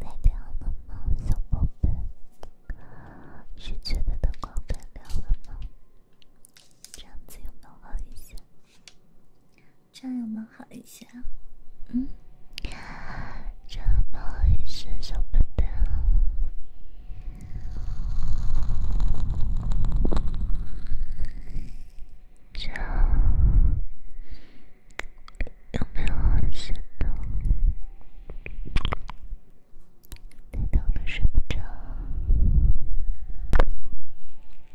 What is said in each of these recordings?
太亮了吗，小宝贝？是觉得灯光太亮了吗？这样子有没有好一些？这样有没有好一些？嗯？这样不好意思，小宝贝。这。有没有心动？你根本睡不着。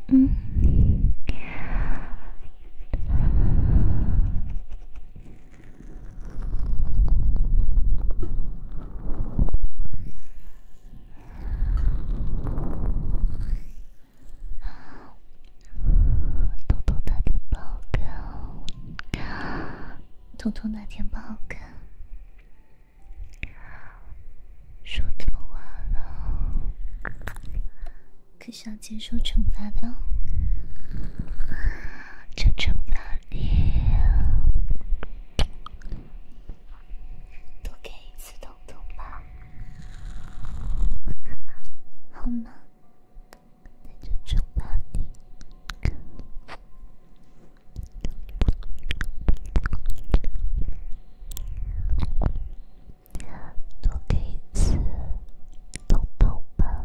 嗯。豆豆打电报告，豆豆打电报告，说错话了，可是要接受惩罚的，就惩罚你，多给一次豆豆吧，好吗？那就惩罚你，多给一次抱抱吧。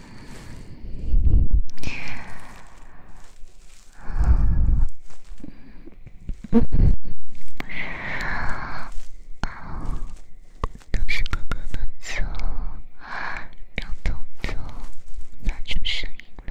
都是哥哥的错，让彤彤发出声音了。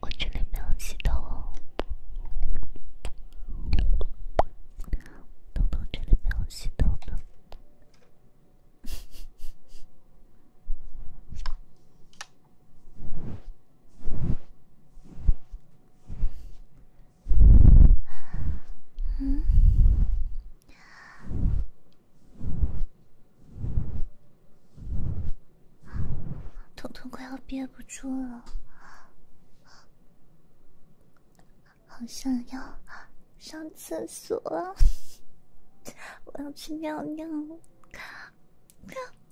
我这里没有洗头哦，东东这里没有洗头的。嗯，彤彤快要憋不住了，好想要上厕所，我要去尿尿，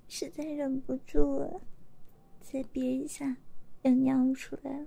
实在忍不住了，再憋一下，要尿出来了。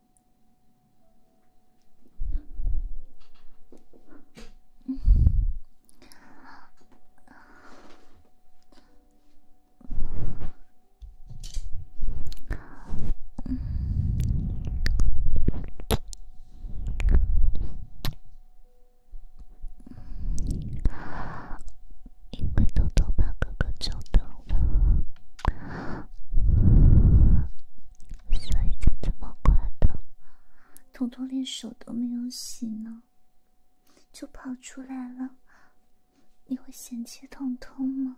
嗯，你会偷偷把哥哥叫的。所以才这么过来的？彤彤连手都没有洗呢，就跑出来了。你会嫌弃彤彤吗？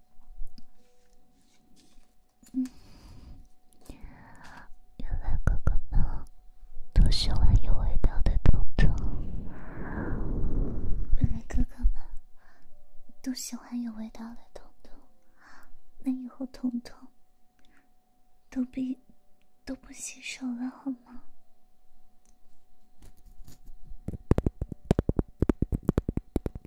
原来哥哥们都喜欢有味道的彤彤，原来哥哥们都喜欢有味道的彤彤。那以后彤彤都不都不洗手了好吗？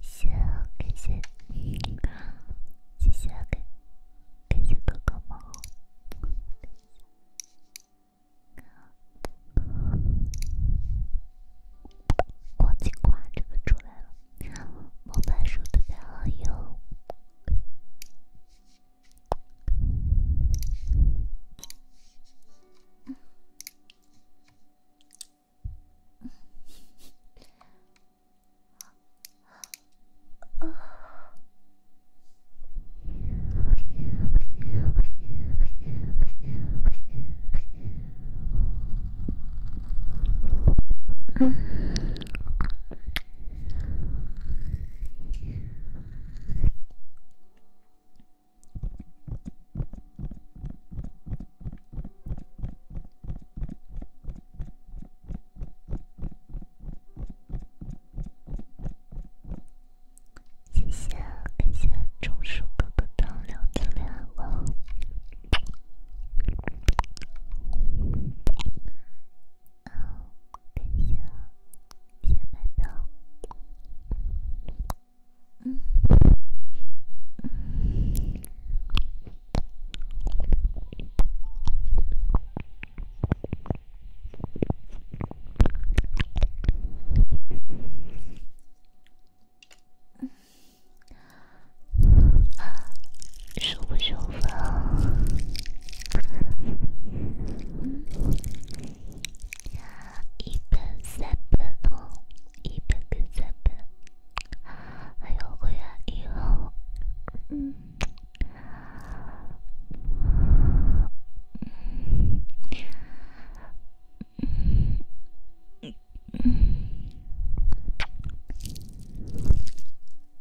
谢谢，感谢，谢谢，感谢，感谢们。国际馆这个出来了。魔法书特别好用。嗯。嗯。谢谢，感谢中暑哥的点亮点亮哦。哦，感谢小馒头。嗯。啊，收不收分？一分、三分哦，一分跟三分。还有我要以后，嗯。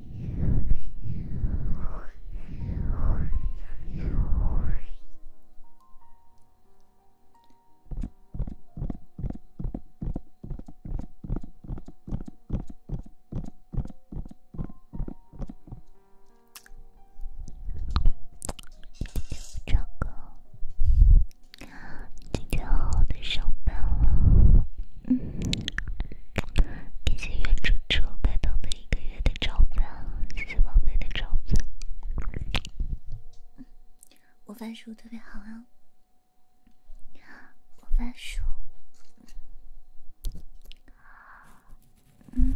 给我唱歌。上班了。嗯，感谢原主主白的。一个月的爪子，谢谢宝贝的爪子。我发数特别好啊，我发数，嗯。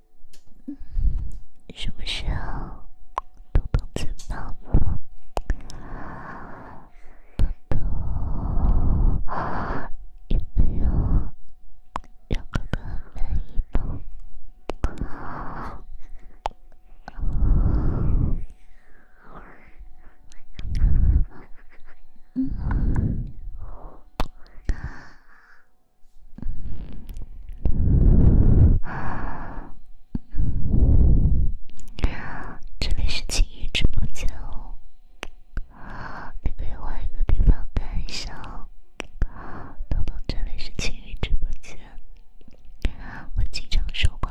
嗯，什么时候，豆豆最棒了？豆豆有没有一个特别的？嗯。这里是青云直播间哦，你可以换一个地方看一下哦。宝宝，这里是青云直播间，我经常收包。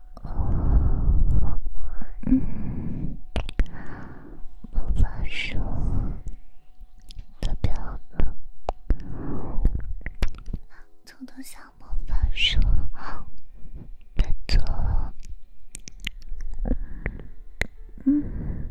哦，嗯，魔法书的表格，偷偷下魔法书，别做了，嗯。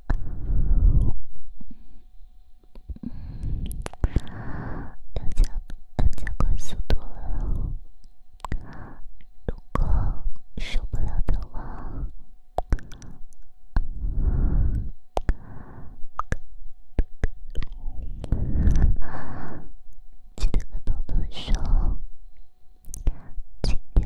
要加要加快速度了。如果受不了的话，记得跟他们说，记得。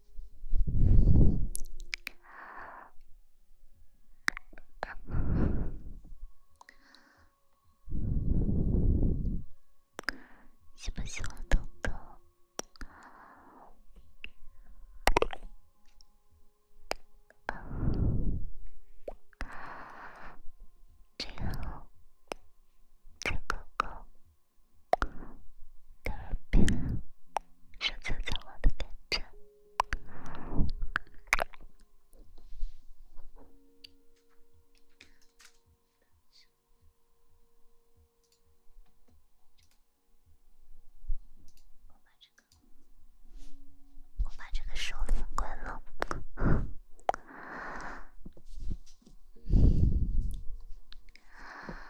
喜不喜欢哥哥？这个这个哥的耳边，手就在我的脸上。我把这个，我把这个收了归了。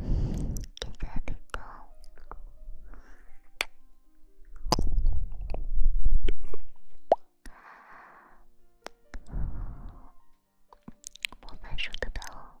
嗯，现在可以。我感受得到。